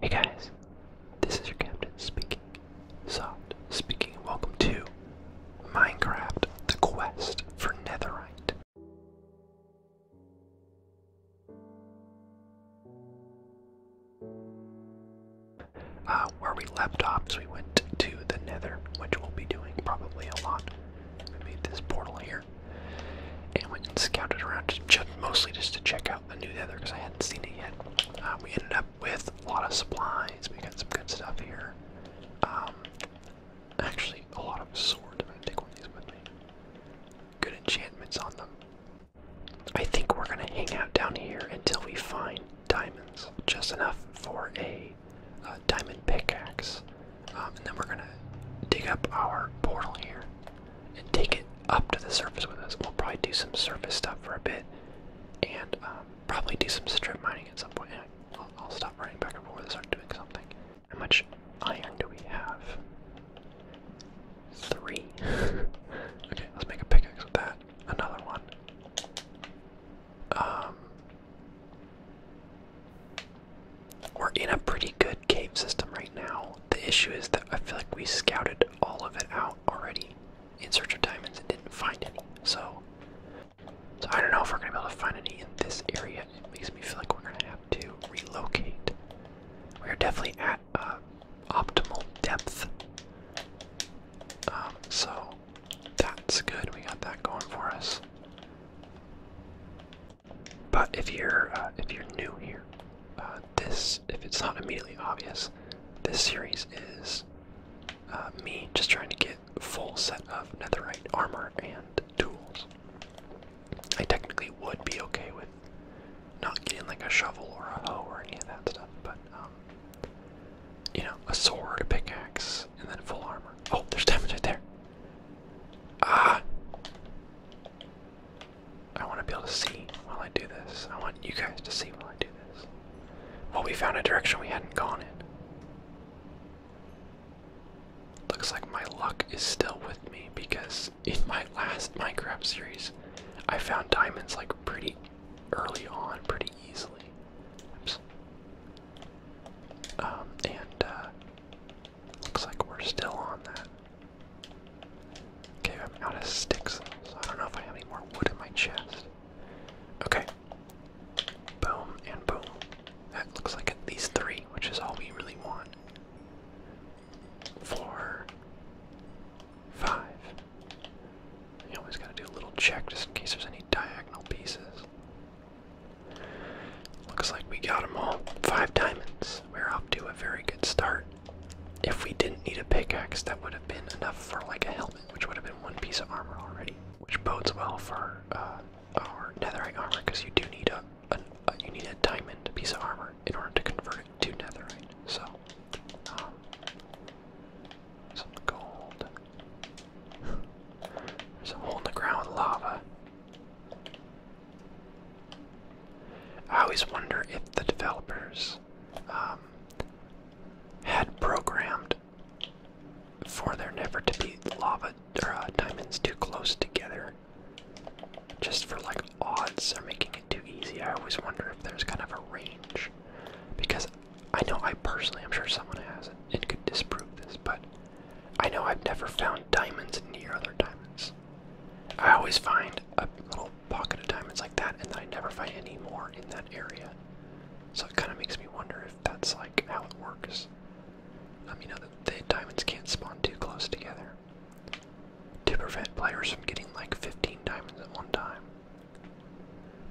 Hey guys, this is your captain speaking. Soft speaking, welcome to Minecraft The Quest for Netherite. Uh, where we left off, we went to the Nether, which we'll be doing probably a lot. We made this portal here and we scouted around, just, mostly just to check out out a new nether because I hadn't seen it yet. Uh, we ended up with a lot of supplies. We got some good stuff here. Um, actually, a lot of swords. I'm going to take one of these with me. Good enchantments on them. I think we're going to hang out down here until we find diamonds. Just enough for a uh, diamond pickaxe. Um, and then we're going to dig up our portal here and take it up to the surface with us. We'll probably do some surface stuff for a bit, and um, probably do some strip mining at some point. And I'll, stop running back and forth and start doing something. How much iron do we have? Three. okay, let's make a pickaxe with that. Another one. Um, we're in a pretty good cave system right now. The issue is that I feel like we scouted all of it out already in search of diamonds and didn't find any. So, I don't know if we're gonna be able to find any in this area. It makes me feel like we're gonna have to relocate. We're definitely at uh, optimal depth. Um, so that's good. We got that going for us. But if you're uh, if you're new here, uh, this, if it's not immediately obvious, this series is uh, me just trying to get full set of netherite armor and tools. I technically would be okay with not getting like a shovel or a hoe or any of that stuff, but um, you know, a sword, a pickaxe, and then full armor. Oh, there's damage right there. Ah, I want to be able to see while I do this. I want you guys to see while I do this. Well, we found a direction we hadn't gone in. Looks like my luck is still with me because in my last Minecraft series, I found diamonds like pretty early on, pretty easily. Um, and uh, looks like we're still on that. Okay, I'm out of sticks, so I don't know if I have any more wood in my chest. Okay. Boom and boom. That looks like at least three, which is all we really want. Four. Five. You always gotta do a little check just in case there's any diagonal pieces. Looks like we got them all. Five diamonds. We're off to a very good start. If we didn't need a pickaxe, that would have been enough for like a helmet, which would have been one piece of armor already, which bodes well for uh, our netherite armor because you do need a, you need a diamond piece of armor in order to convert it to netherite. So, um, some gold. There's a hole in the ground, lava. I always wonder if the developers um, had programmed for there never to be lava or uh, diamonds too close together, just for like odds They're making it too easy. I always wonder if there's kind of a range, because I know I personally, I'm sure someone has it and could disprove this, but I know I've never found diamonds near other diamonds. I always find a little pocket of diamonds like that, and then I never find any more in that area. So it kind of makes me wonder if that's like how it works. Um, you know, the, the diamonds can't spawn too close together to prevent players from getting like 15 diamonds at one time.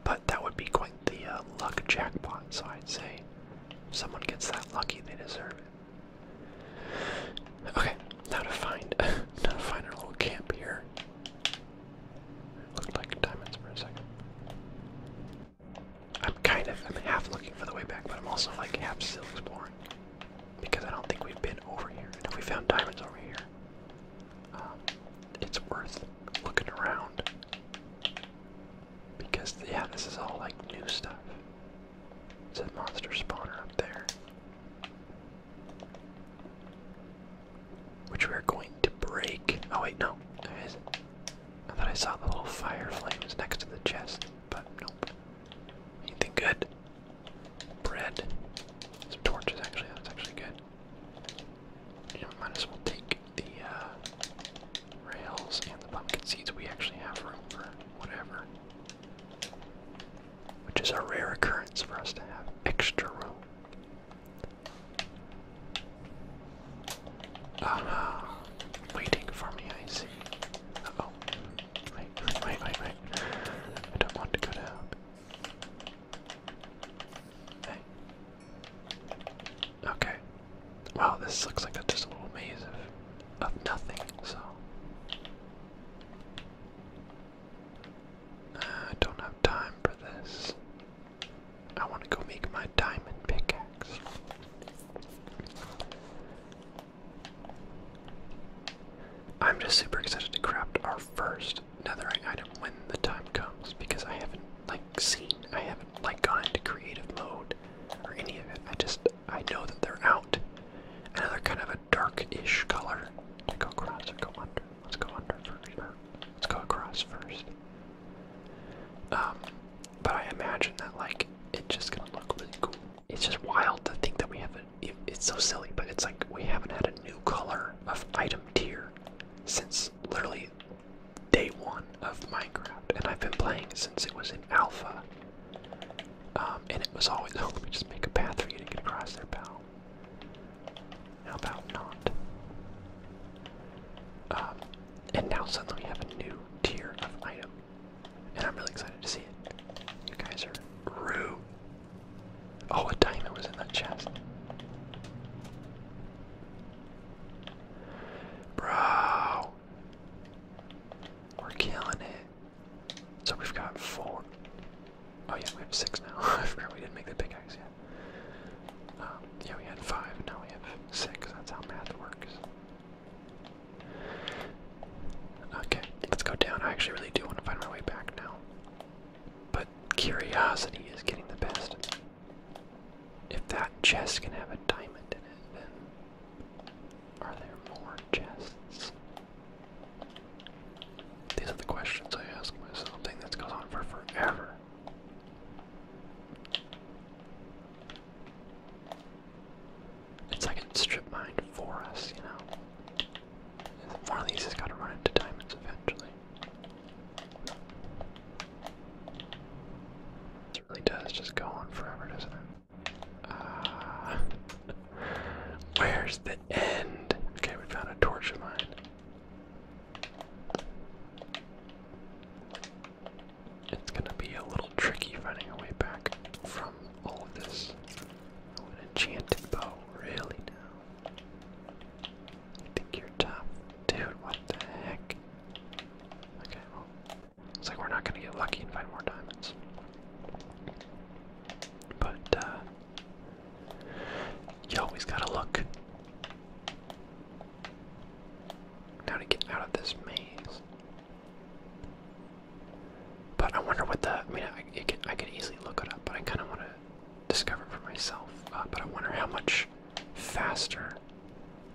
But that would be quite the uh, luck jackpot, so I'd say if someone gets that lucky, they deserve it. Okay, now to find, now to find our little camp here. Looked like diamonds for a second. I'm kind of, I'm half looking for the way back, but I'm also like half still exploring because I don't think we've been over here. if we found diamonds over here, um, it's worth looking around because yeah, this is all like new stuff. It's a monster spawner up there. Which we're going to break. Oh, wait, no. There is. I thought I saw the little fire flames next to the chest, but nope. Anything good? Bread. Some torches, actually. That's actually good. You might as well take the uh, rails and the pumpkin seeds. We actually have room for whatever. Which is a rare occurrence for us to have extra room. Aha! Waiting for me, I see. oh. Wait, wait, wait, wait. I don't want to go down. Hey. Okay. Wow, this looks like just a little maze of, of nothing, so. I uh, don't have time for this. I want to go make my diamond pickaxe. I'm just super excited to craft our first netherite item when the time comes because I haven't like seen, I haven't like gone into creative mode or any of it. I just I know that they're out another kind of a dark-ish color to go across or go under. Let's go under first. let's go across first. Um, but I imagine that like it's just gonna look really cool. It's just wild to think that we haven't. it's so silly, but it's like we haven't had a new color of item tier since literally day one of Minecraft, and I've been playing since it was in alpha. Um, and it was always, oh, let me just make a path for you to get across there, pal. How about not? Um, and now suddenly we have a new tier of item. And I'm really excited to see it. You guys are rude. Oh, a diamond was in that chest. Bro. We're killing it. So we've got four. Oh yeah, we have six now. I forgot we didn't make the pickaxe yet. Um, yeah, we had five, now we have six. That's how math works. Okay, let's go down. I actually really do want to find my way back now. But curiosity is getting the best. If that chest can have a diamond in it, then are there more chests? These are the questions I ask myself. Something that goes on for forever. It's like a strip mine for us, you know. One of these has got to run into diamonds eventually. It really does just go on forever, doesn't it? Uh, Where's the end? Okay, we found a torch of mine. It's gonna be a little tricky finding a way back from all of this. Oh, an enchanted bow, really now. think you're tough? Dude, what the heck? Okay, well, it's like we're not gonna get lucky and find more diamonds. But, uh, you always gotta look. Now to get out of this maze. But I wonder what the. I mean, I, could easily look it up, but I kind of want to discover for myself. Uh, but I wonder how much faster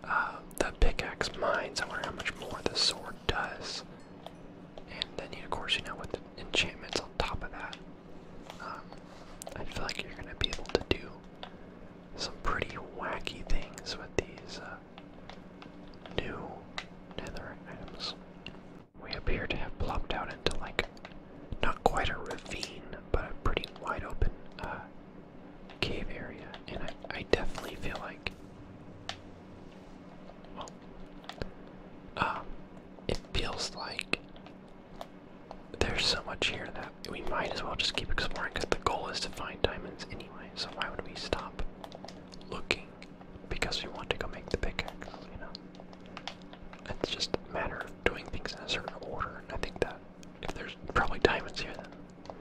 uh, the pickaxe mines. I wonder how much more the sword does. And then, of course, you know, with the enchantments on top of that. Um, I feel like you're gonna be able to do some pretty wacky things with these uh, new nether items. We appear to have plopped out into like not quite a ravine, but a pretty wide open uh, cave area, and I, definitely feel like, um, it feels like there's so much here that we might as well just keep exploring because the goal is to find diamonds anyway, so why would we stop looking? Because we want to go make the pickaxe, you know? It's just a matter of doing things in a certain order, and I think that if there's probably diamonds here, then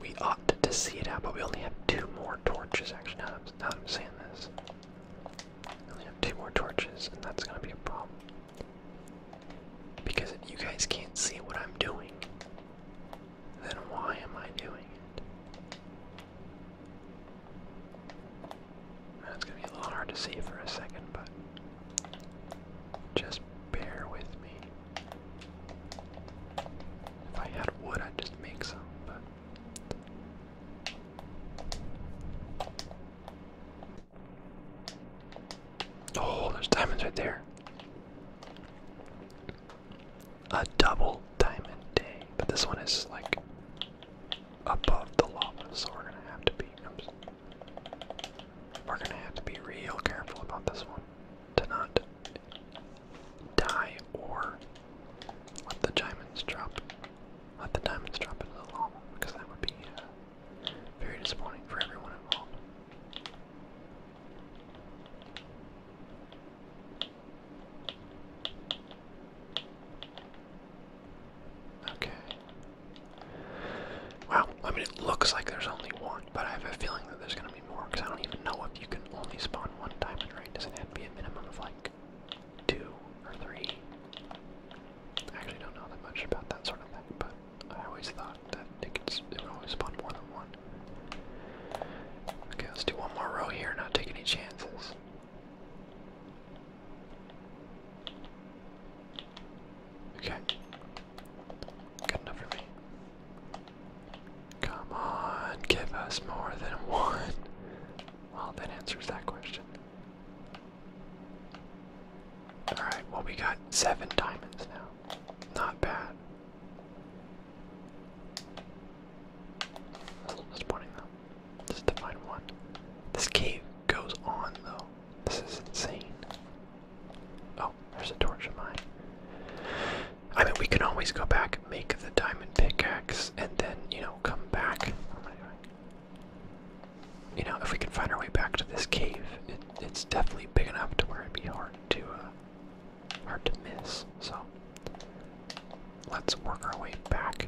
we ought to, see it out, but we only have two more torches, actually, now that I'm, now that saying this. I only have two more torches, and that's gonna be a problem. Because if you guys can't see what I'm doing, then why am I doing it? That's gonna be a little hard to see for a second, but just bear with me. If I had wood, I'd just make some, but Oh, there's diamonds right there. A double diamond day. But this one is like above the lava, so we're gonna have to be We're gonna have to be real careful about this one to not die or let the diamonds drop. Let the diamonds drop into the lava because that would be uh, very disappointing for everyone involved. Okay. Wow, I mean, it looks like there's only one, but I have a feeling that there's going to be more because I don't even know if you can only spawn one diamond, right? Doesn't have to be a minimum of like two or three. I actually don't know that much about that sort of thing, but I always thought that it, could, it would always spawn more than one. Okay, let's do one more row here, not take any chances. Okay. Good enough for me. Come on, give us more than one. Well, that answers that question. Alright, well, we got seven diamonds now. Not bad. Just pointing them. Just to find one. This cave goes on, though. This is insane. Oh, there's a torch of mine. I mean, we can always go back, and make the diamond pickaxe, and then, you know, come back. You know, if we can find our way back to this cave, it's definitely big enough to where it'd be hard to uh, hard to miss. So let's work our way back.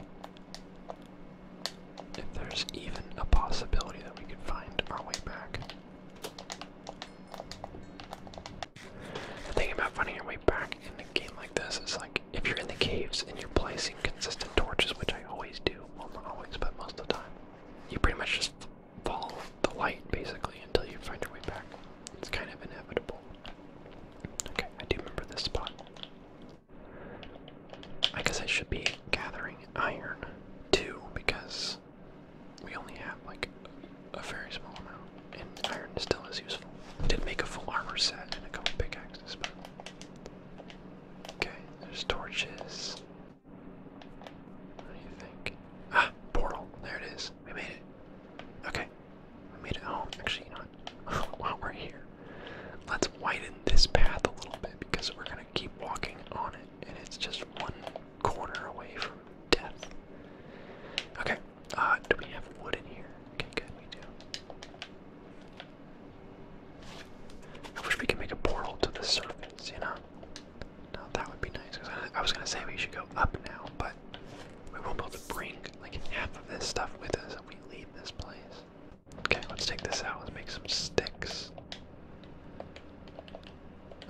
If there's even a possibility that we could find our way back. The about finding your way back in a game like this is like if you're in the caves and you're placing consistent torches, which I always do, well not always, but most of the time, you pretty much just follow the light basically until you find your way back. It's kind of inevitable. Okay, I do remember this spot. I guess I should be gathering iron too because we only have like a very small amount, and iron still is useful. I did make a full armor set and a couple pickaxes, but Okay, there's torches. What do you think? Ah, portal. There it is. We made it. Okay, we made it home. Actually, you While we're here, let's widen this path a little bit because we're gonna keep walking on it, and it's just one corner away from death. Okay. Uh, do we have wood in here? Okay, good, we do. I wish we could make a portal to the surface, you know? Now that would be nice. I, was gonna say we should go up now, but we won't be able to bring like half of this stuff with us if we leave this place. Okay, let's take this out. Let's make some sticks.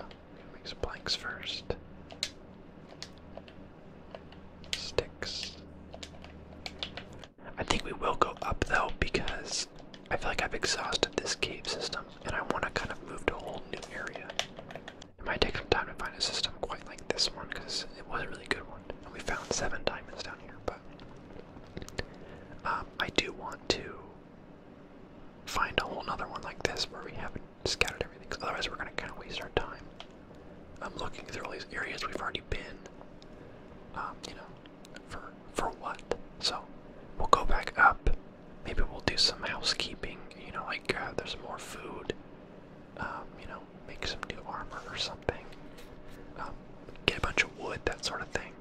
Oh, make some planks first. Sticks. I think we will go up though because I feel like I've exhausted this cave system and I want to kind of move to a whole new area. It might take some time to find a system quite like this one because it was a really good one. And we found seven diamonds down here, but um, I do want to find a whole nother one like this where we haven't scattered everything. otherwise, we're gonna kind of waste our time. I'm looking through all these areas we've already been. Um, you know, for for what? So we'll go back up. Maybe we'll do some housekeeping. You know, like uh, there's more food. Um, you know, make some new armor or something. Um, get a bunch of wood, that sort of thing.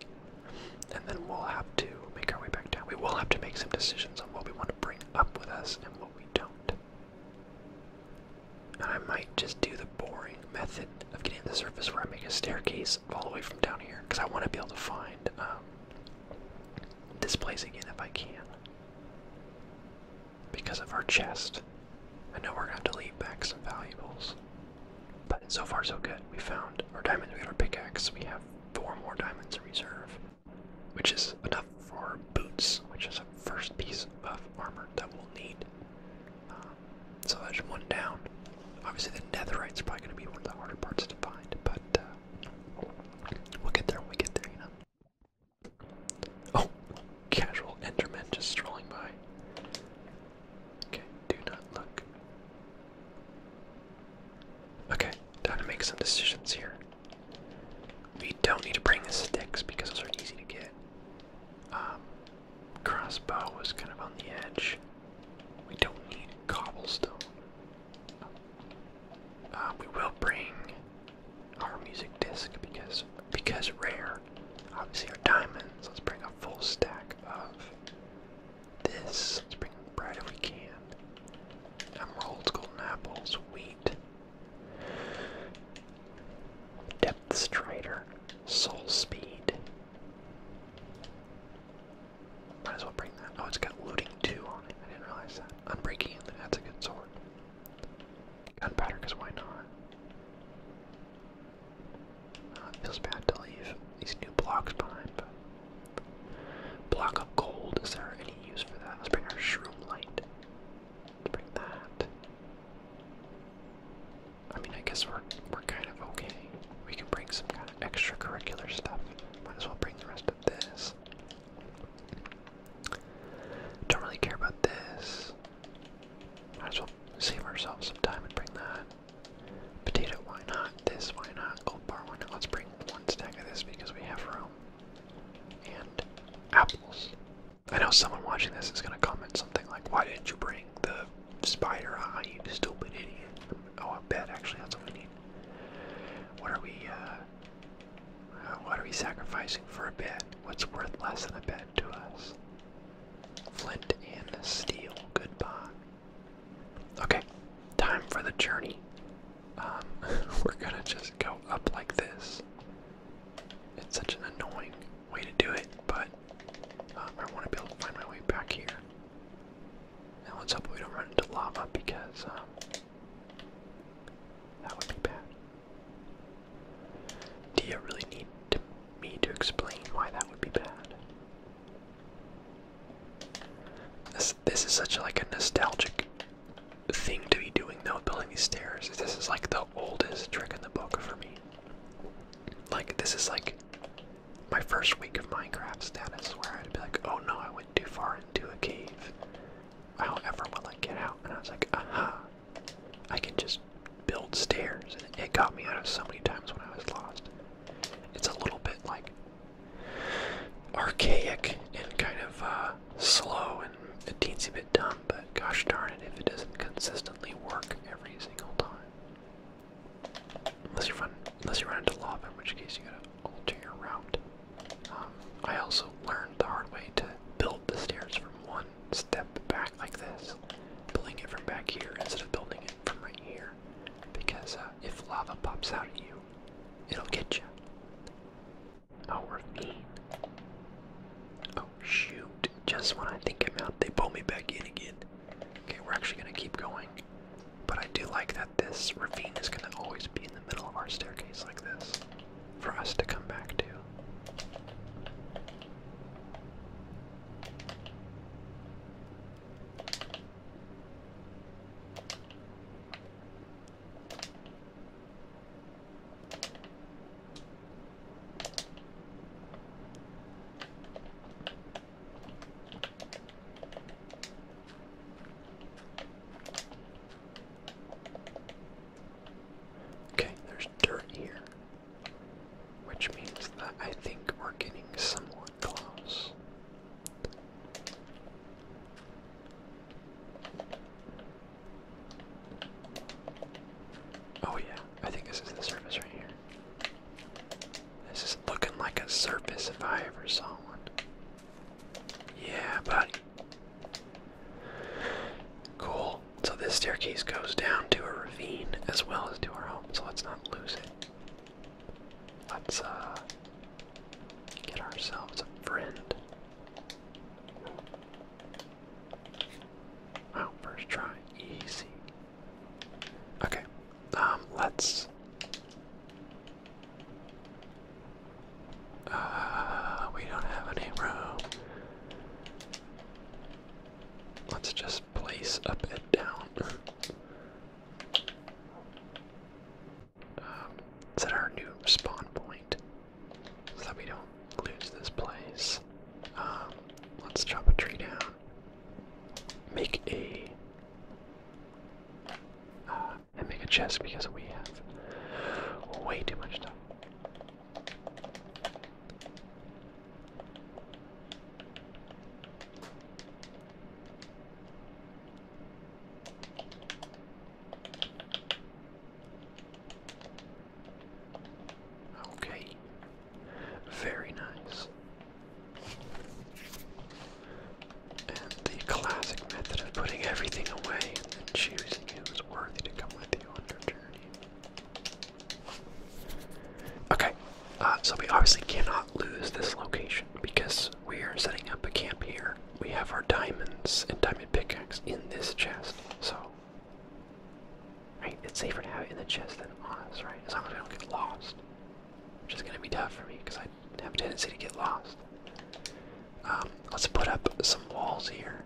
And then we'll have to make our way back down. We will have to make some decisions on what we want to bring up with us and what we don't. And I might just do the boring method of getting to the surface where I make a staircase all the way from down here because I want to be able to find um, this place again if I can. Because of our chest, I know we're going to have to leave back some valuables. But so far, so good. We found our diamonds, we got our pickaxe, we have four more diamonds in reserve, which is enough for boots, which is a first piece of armor that we'll need. Um, so that's one down. Obviously, the netherite's is probably going to be one of the harder parts to find, but uh, we'll get there when we get there, you know. Oh, casual Enterman just strolling by. Okay, do not look. Okay, time to make some decisions here. We don't need to bring the sticks because those are easy to get. Um, crossbow was kind of on the edge. We don't need cobblestone. Uh, we will bring our music disc because because rare. Obviously our diamonds. Let's bring a full stack of this. Let's bring bread if we can. Emeralds, golden apples, wheat. Depth Strider, Soul Speed. Might as well bring that. Oh, it's got Looting 2 on it. I didn't realize that. Unbreaking that's a good sword. Gunpowder, because why not? Uh, feels bad to leave these new blocks behind, Block up gold, is there any use for that? Let's bring our Shroom Let's bring that. I mean, I guess we're we're kind of okay. We can bring some kind of extracurricular stuff. Might as well bring the rest of this. Don't really care about this. Might as well save ourselves some time and bring that. Potato, why not? This, why not? Gold bar, why not? Let's bring one stack of this because we have room. And apples. I know someone watching this is gonna comment something like, "Why didn't you bring the spider on? You stupid idiot!" Oh, a bed. Actually, that's what we need. What are we? Uh, uh, what are we sacrificing for a bed? What's worth less than a bed to us? Flint and steel. Goodbye. Okay, time for the journey. Um, we're gonna just go up like this. It's such an annoying way to do it, but um, I want to be able to find my way back here. Now let's hope we don't run into lava because um, that would be bad. Do you really need to, me to explain why that would be bad? This this is such a, like a nostalgic thing to be doing though, building these stairs. This is like the oldest trick in the book for me. Like this is like my first week of Minecraft status where I'd be like, oh no, I went too far into a cave. However will I get out? And I was like, aha. Uh-huh. I can just build stairs and it got me out of so many times when I was lost. It's a little bit like archaic and kind of uh slow and a teensy bit dumb, but gosh darn it if it doesn't consistently work every single time. Unless you run, unless you run into lava, in which case you gotta alter your route. Um, I also learned the hard way to build the stairs from one step back like this, building it from back here instead of building it from right here, because uh, if lava pops out at you, it'll get you. Oh, we're Shoot. Just when I think I'm out, they pull me back in again. Okay, we're actually going to keep going. But I do like that this ravine is going to always be in the middle of our staircase like this for us to come back to. Okay, there's dirt here, which means that I think we're getting somewhat close. Oh yeah, I think this is the surface right here. This is looking like a surface if I ever saw one. Yeah, buddy. Cool. So this staircase goes down to a ravine as well as to our home, so let's not lose it. Let's uh get ourselves a friend. Wow, first try, easy. Okay, um, let's. Uh, we don't have any row. Let's just place up and down. Um, set our new spawn point so that we don't do lose this place. Um, let's chop a tree down. Make a uh, and make a chest because we have way too much stuff. Okay, very nice. And the classic method of putting everything away and choosing who's worthy to come with you on your journey. Okay, uh, so we obviously cannot lose this location because we are setting up a camp here. We have our diamonds and diamond pickaxe in this chest, so Right? It's safer to have it in the chest than on us, right? As long as we don't get lost. Which is going to be tough for me because I have a tendency to get lost. Um, let's put up some walls here.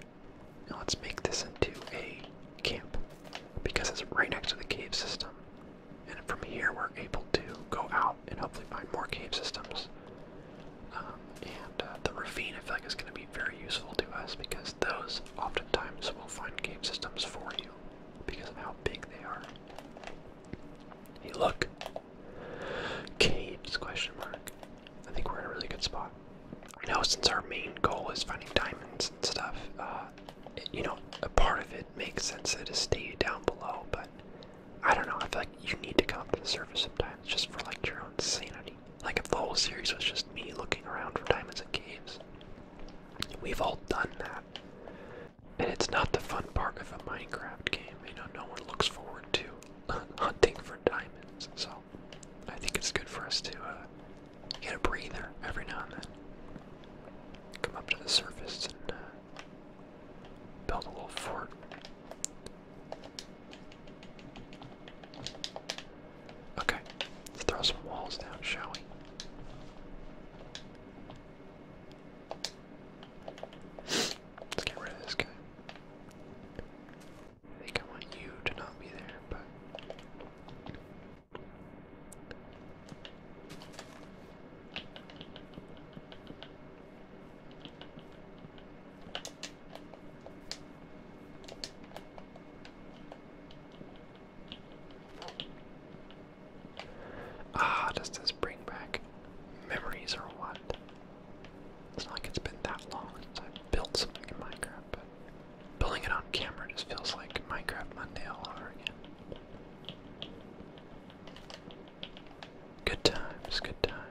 And let's make this into a camp. Because it's right next to the cave system. And from here we're able to go out and hopefully find more cave systems. Um, and uh, the ravine I feel like is going to be very useful to us because those oftentimes will find game systems for you because of how big they are. Hey, look. Caves, question mark. I think we're in a really good spot. I know since our main goal is finding diamonds and stuff, uh, you know, a part of it makes sense to stay down below, but I don't know, I feel like you need to come up to the surface sometimes just for like your own sanity. Like if the whole series was just me looking around for diamonds and caves, We've all done that. And it's not the fun part of a Minecraft game. You know, no one looks forward to hunting for diamonds. So I think it's good for us to uh, get a breather every now and then. Come up to the surface and uh, build a little fort. Okay, let's throw some walls down, shall we? Let's get rid of this guy. I think I want you to not be there, but. Ah, does this bring back memories or what? It's not like it's been that long since i built something in Minecraft, but building it on camera just feels like Minecraft Monday all over again. Good times, good times.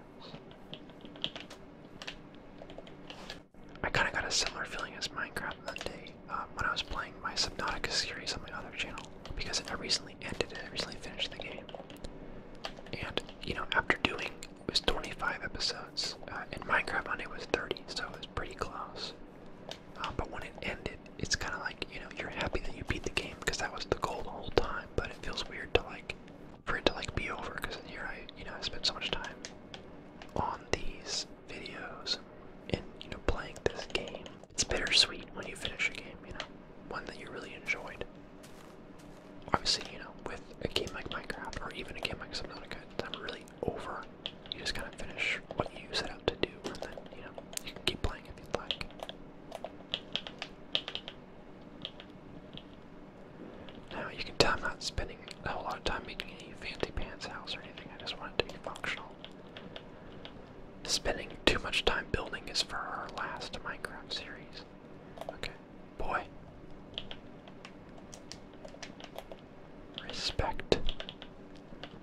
I kind of got a similar feeling as Minecraft Monday uh, when I was playing my Subnautica series on my other channel because I recently ended it, I recently finished the game. And, you know, after doing, it was 25 episodes, uh, and Minecraft Monday was 30, so it was pretty close. Uh, but when it ended, it's kind of like, you know, you're happy that you beat the game because that was the goal the whole time, but it feels weird to, like, for it to, like, be over because here I, you know, I spent so much time on these videos and you know playing this game. It's bittersweet when you finish a game, you know, one that you really enjoyed. Obviously, you know, with a game like Minecraft or even a game like Subnautica, it's not really over. You just kind of finish what you set out to do, and then you know you can keep playing if you'd like. Now you can tell I'm not spending a whole lot of time making any fancy pants house or anything. I just want it to be functional. Spending too much time building is for our last Minecraft series. Okay, boy. Respect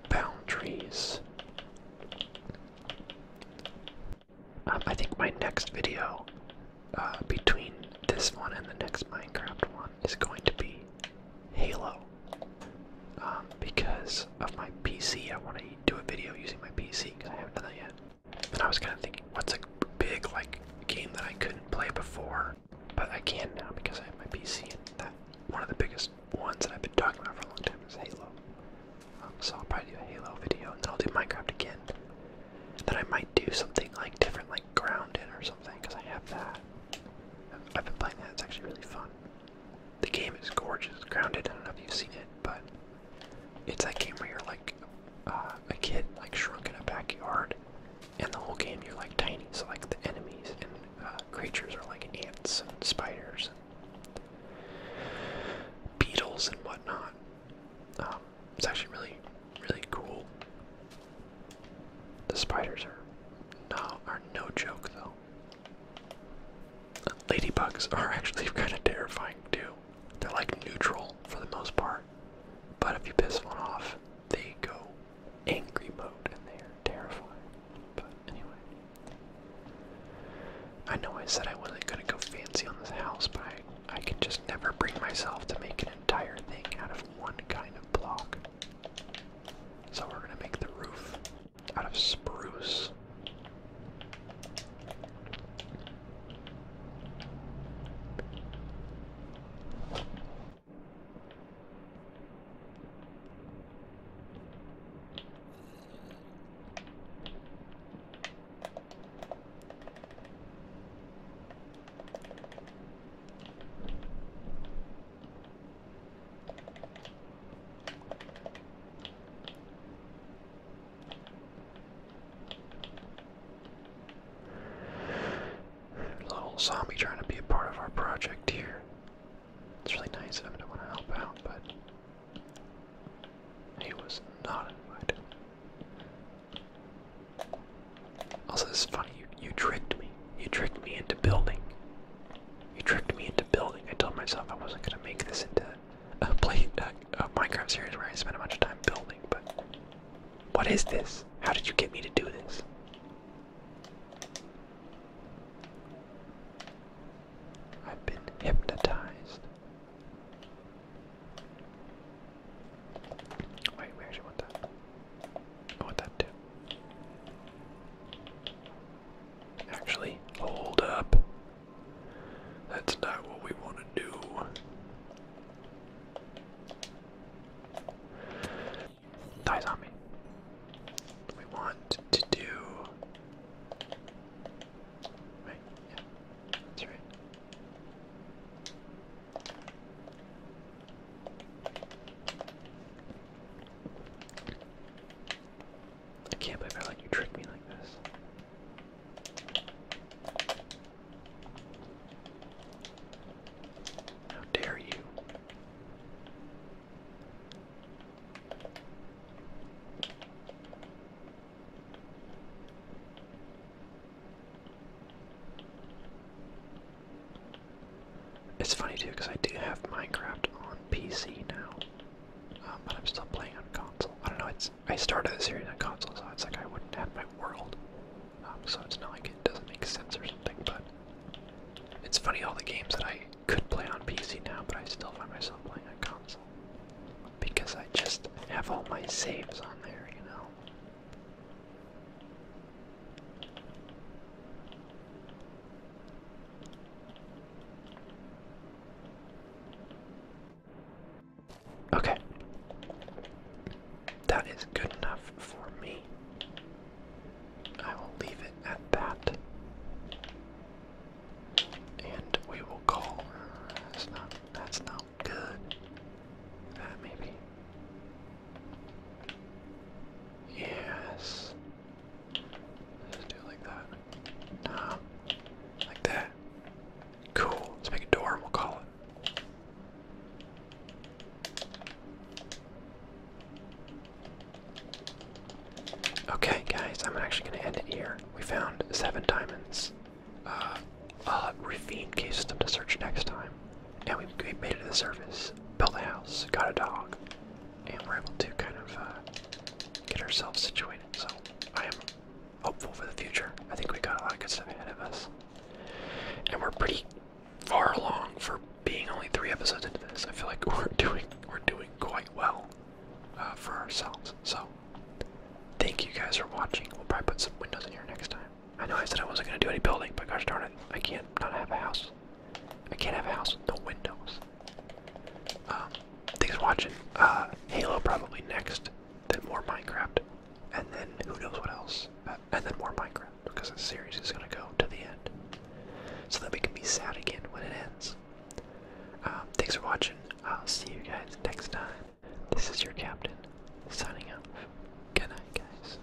boundaries. Um, I think my next video, uh, between this one and the next Minecraft one, is going to be Halo. Um, because of my PC, I want to do a video using my PC because I haven't done that yet. And I was kind of thinking, what's a big like game that I couldn't play before, but I can now because I have my PC. And that one of the biggest ones that I've been talking about for a long time is Halo. Um, so I'll probably do a Halo video, and then I'll do Minecraft again. And then I might do something like different, like Grounded or something because I have that. I've been playing that. It's actually really fun. The game is gorgeous. Grounded. I don't know if you've seen it, but it's that game where you're like uh, a kid, like shrunk in a backyard, and the whole game you're like tiny. So like the enemies and uh, creatures are like ants and spiders and beetles and whatnot. Um, it's actually really, really cool. The spiders are no are no joke though. Ladybugs are actually kind of terrifying too. They're like neutral for the most part, but if you piss one off, they go angry mode and they are terrifying. But anyway, I know I said I wasn't gonna go fancy on this house, but I I can just never bring myself to make an entire thing out of one kind of block. So we're gonna make the roof out of spruce little zombie trying to be a part of our project here. It's really nice I'm going to want to help out, but he was not invited. Also, this is funny. You, you tricked me. You tricked me into building. You tricked me into building. I told myself I wasn't gonna make this into a play a, Minecraft series where I spend a bunch of time building. But what is this? How did you get me to do this? I've been hypnotized. Wait, we actually want that. I want that too. Actually, hold up. That's not what we want to do. Die zombie. We want to do. Right, yeah, that's right. I can't believe I you tricked me like this. How dare you? It's funny too because I do have Minecraft on PC now, um, but I'm still playing on console. I don't know. It's I started the series on console, so it's like I wouldn't have my world. Um, so it's not like it doesn't make sense or something. But it's funny all the games that I could play on PC now, but I still find myself playing on console because I just have all my saves on there, you know. Okay. That is good enough for me. I will leave it at that. And we will call. That's not. That's not good. That maybe. Yes. do it like that. Nah. Like that. Cool. Let's make a door we'll call it. Okay, guys, I'm actually going to end it here. We found seven diamonds. Uh, uh, ravine Case system to search next time and we, made it to the surface, built a house, got a dog, and we're able to kind of uh, get ourselves situated. So I am hopeful for the future. I think we got a lot of good stuff ahead of us, and we're pretty far along for being only three episodes into this. I feel like we're doing we're doing quite well uh, for ourselves. So thank you guys for watching. We'll probably put some windows in here next time. I know I said I wasn't gonna do any building, but gosh darn it, I can't not have a house. I can't have a house with no windows. Um, thanks for watching. Uh, Halo probably next, then more Minecraft, and then who knows what else. Uh, and then more Minecraft, because the series is going to go to the end. So that we can be sad again when it ends. Um, thanks for watching. I'll see you guys next time. This is your captain, signing off. Good night, guys.